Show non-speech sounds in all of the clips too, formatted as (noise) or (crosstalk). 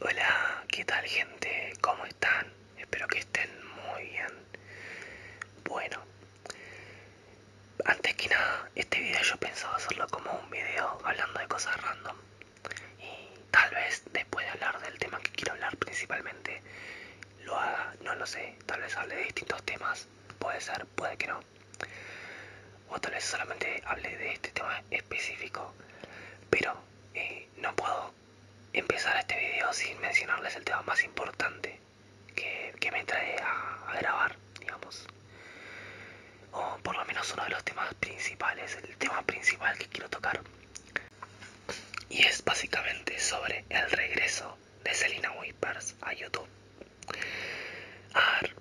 Hola, ¿qué tal gente? ¿Cómo están? Espero que estén muy bien. Bueno, antes que nada, este video yo pensaba hacerlo como un video hablando de cosas random. Y tal vez después de hablar del tema que quiero hablar principalmente, lo haga, no lo sé, tal vez hable de distintos temas, puede ser, puede que no o tal vez solamente hable de este tema específico pero eh, no puedo empezar este video sin mencionarles el tema más importante que, me trae a, grabar digamos o por lo menos uno de los temas principales el tema principal que quiero tocar y es básicamente sobre el regreso de Selena Whisper's a YouTube. A ver,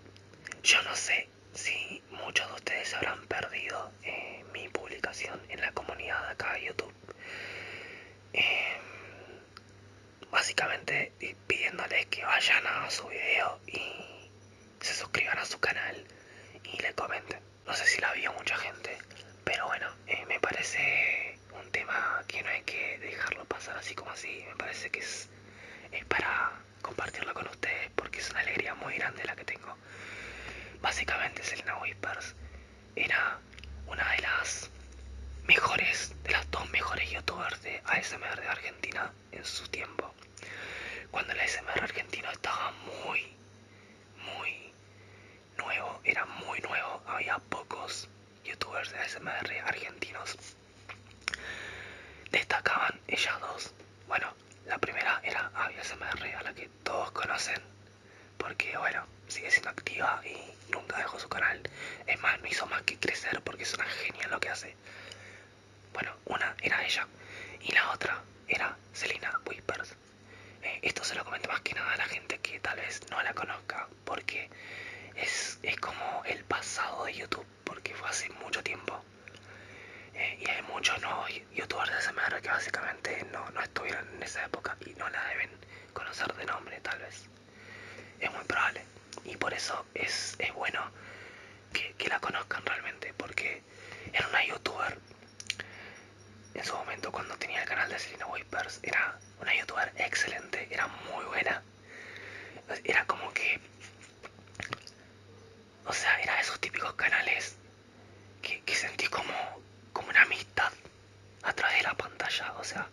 yo no sé si muchos de ustedes habrán perdido eh, mi publicación en la comunidad de acá de YouTube. Em, básicamente eh, pidiéndoles que vayan a su video y se suscriban a su canal y le comenten. No sé si la vio mucha gente, pero bueno, eh, me parece un tema que no hay que dejarlo pasar así como así. Me parece que es para compartirlo con ustedes porque es una alegría muy grande la que tengo. Básicamente Selena Whispers era una de las mejores, de las dos mejores youtubers de ASMR de Argentina en su tiempo. Cuando el ASMR argentino estaba muy, muy nuevo, era muy nuevo, había pocos youtubers de ASMR argentinos Destacaban ellas dos. Bueno, la primera era AviasMR, a la que todos conocen, porque bueno, sigue siendo activa y nunca dejó su canal. Es más, no hizo más que crecer porque es una genia lo que hace. Bueno, una era ella y la otra era Selina Whispers. Eh, esto se lo comento más que nada a la gente que tal vez no la conozca porque es, como el pasado de YouTube, porque fue hace mucho tiempo. Eh, y hay muchos no youtubers de manera que básicamente no, estuvieron en esa época y no la deben conocer de nombre tal vez. Es muy probable. Y por eso es, bueno que, que la conozcan realmente, porque era una youtuber. En su momento cuando tenía el canal de Selena Whispers era una youtuber excelente, era muy buena. Era como que... O sea, era esos típicos canales que, sentí como, como una amistad a través de la pantalla. O sea,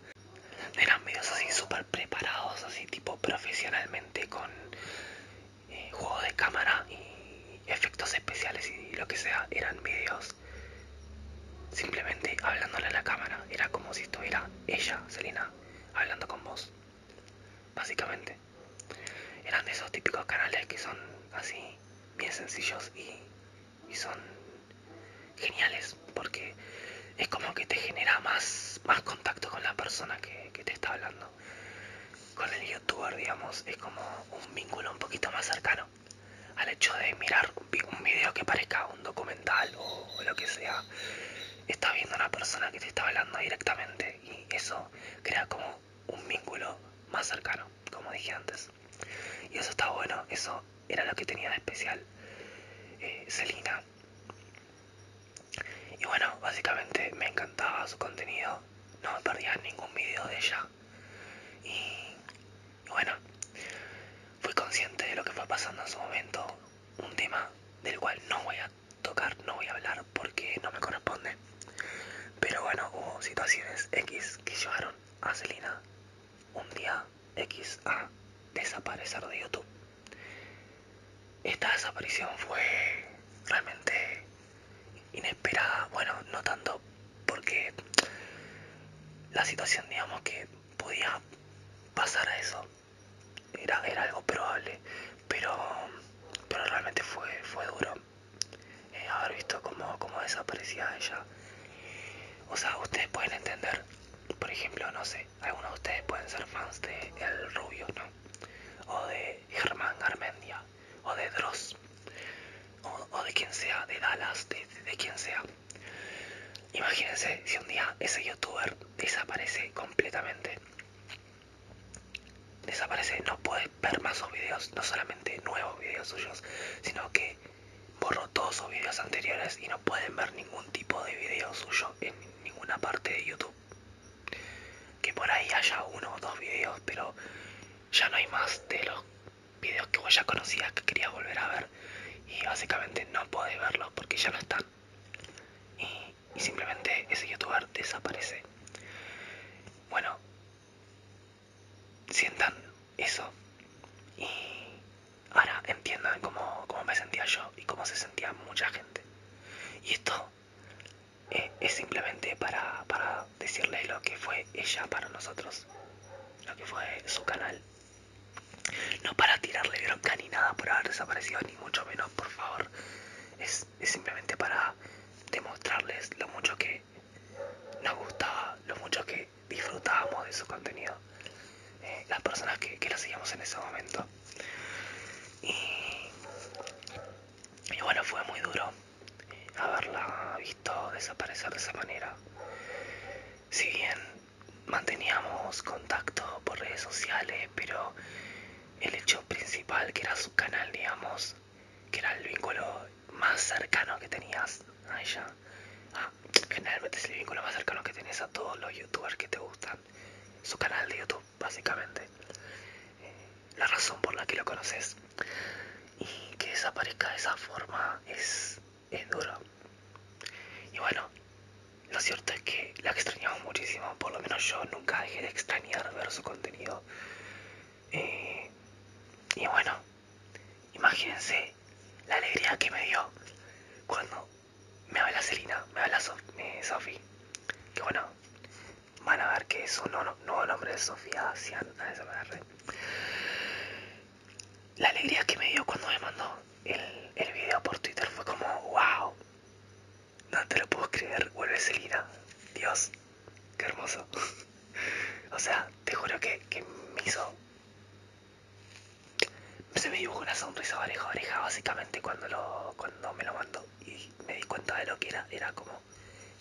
eran vídeos así súper preparados, así tipo profesionalmente con eh, juegos de cámara y efectos especiales y lo que sea. Eran vídeos simplemente hablándole a la cámara. Era como si estuviera ella, Selena, hablando con vos. Básicamente. Eran de esos típicos canales que son así, bien sencillos y, y son geniales porque es como que te genera más, más contacto con la persona que te está hablando. Con el youtuber, digamos, es como un vínculo un poquito más cercano al hecho de mirar un video que parezca un documental o, lo que sea, está viendo a una persona que te está hablando directamente y eso crea como un vínculo más cercano, como dije antes. Y eso está bueno, eso era lo que tenía de especial Celina eh, Y bueno, básicamente me encantaba su contenido, no me perdía ningún video de ella. Y bueno, fui consciente de lo que fue pasando en su momento, un tema del cual no voy a tocar, no voy a hablar porque no me corresponde. Pero bueno, hubo situaciones X que llevaron a Selena un día X a desaparecer de YouTube. Esta desaparición fue realmente inesperada, bueno, no tanto porque la situación digamos que podía pasar a eso era, era algo probable pero pero realmente fue fue duro eh, haber visto cómo, desaparecía ella o sea ustedes pueden entender por ejemplo no sé algunos de ustedes pueden ser fans de el rubio no o de germán armendia o de dross o, de quien sea de dallas de quien sea Imagínense si un día ese youtuber desaparece completamente. Desaparece, no puedes ver más sus videos, no solamente nuevos videos suyos, sino que borró todos sus videos anteriores y no pueden ver ningún tipo de video suyo en ninguna parte de YouTube. Que por ahí haya uno o dos videos, pero ya no hay más de los videos que vos ya conocías que quería volver a ver y básicamente no podés verlos porque ya no están y, simplemente ese youtuber desaparece bueno sientan eso y ahora entiendan cómo, me sentía yo y cómo se sentía mucha gente y esto eh, es simplemente para, para lo que fue ella para nosotros lo que fue su canal. No para tirarle bronca ni nada por haber desaparecido, ni mucho menos, por favor. Es, simplemente para demostrarles lo mucho que nos gustaba, lo mucho que disfrutábamos de su contenido. Eh, las personas que, lo seguíamos en ese momento. y bueno, fue muy duro haberla visto desaparecer de esa manera. Si bien manteníamos contacto por redes sociales, pero el hecho principal que era su canal, digamos, que era el vínculo más cercano que tenías a ella. Ah, generalmente es el vínculo más cercano que tenés a todos los youtubers que te gustan. Su canal de YouTube, básicamente. Eh, la razón por la que lo conoces y que desaparezca de esa forma es, es duro. Y bueno, lo cierto es que la extrañamos muchísimo, por lo menos yo nunca dejé de extrañar ver su contenido. Eh, y bueno, imagínense la alegría que me dio cuando me habla Celina, me habla Sofi, eh, que bueno, van a ver que es un nuevo nombre de Sofía Sian. La alegría que me dio cuando me mandó el, el video por Twitter fue como, wow, no te lo puedo creer, vuelve Selina, Dios, qué hermoso. (laughs) o sea, te juro que, me hizo... Se me dibujó una sonrisa oreja oreja básicamente cuando, lo, cuando me lo mandó y me di cuenta de lo que era, era como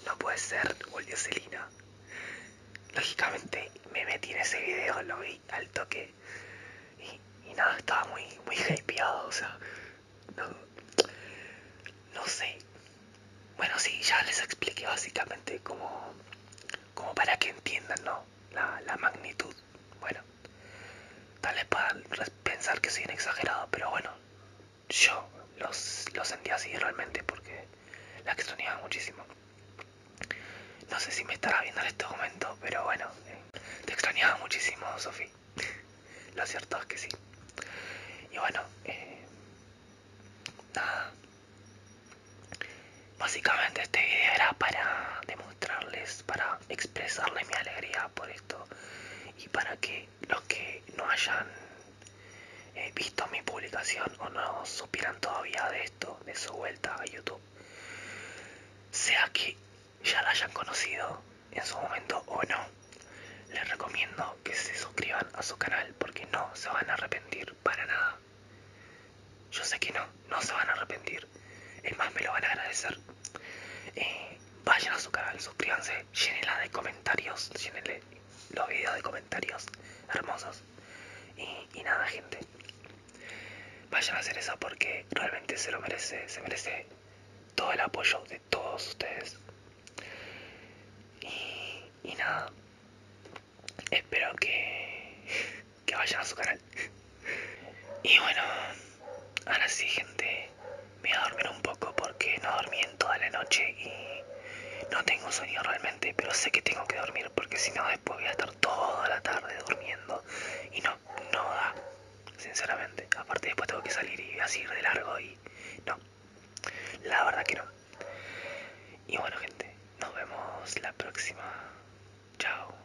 no puede ser, volvió Selina. Lógicamente me metí en ese video, lo vi al toque y, nada, estaba muy, muy hypeado, o sea, no, no sé. Bueno, sí, ya les expliqué básicamente como, como para que entiendan, ¿no? La, magnitud. Bueno, tal vez para pensar que soy un exagerado, pero bueno, yo los, los sentí así realmente porque la extrañaba muchísimo. No sé si me estará viendo en este momento, pero bueno, eh, te extrañaba muchísimo, Sofi. Lo cierto es que sí. Y bueno, eh, nada. Básicamente este video era para demostrarles, para expresarles mi alegría por esto y para que los que no hayan eh, visto mi publicación o no supieran todavía de esto, de su vuelta a YouTube, sea que ya la hayan conocido en su momento o no, les recomiendo que se suscriban a su canal porque no se van a arrepentir para nada. Yo sé que no, no se van a arrepentir. Es más, me lo van a agradecer. Eh, vayan a su canal, suscríbanse, llénenla de comentarios, llénenle los videos de comentarios hermosos. Y, nada, gente, vayan a hacer eso porque realmente se lo merece, se merece todo el apoyo de todos ustedes. Y, y nada, espero que, que vayan a su canal. Y bueno, ahora sí, gente, me voy a dormir un poco porque no dormí en toda la noche y no tengo sueño realmente, pero sé que tengo que dormir porque si no después voy a estar toda la tarde durmiendo y no, no da, sinceramente. Aparte después tengo que salir y así de largo y no, la verdad que no. Y bueno gente, nos vemos la próxima. Chao.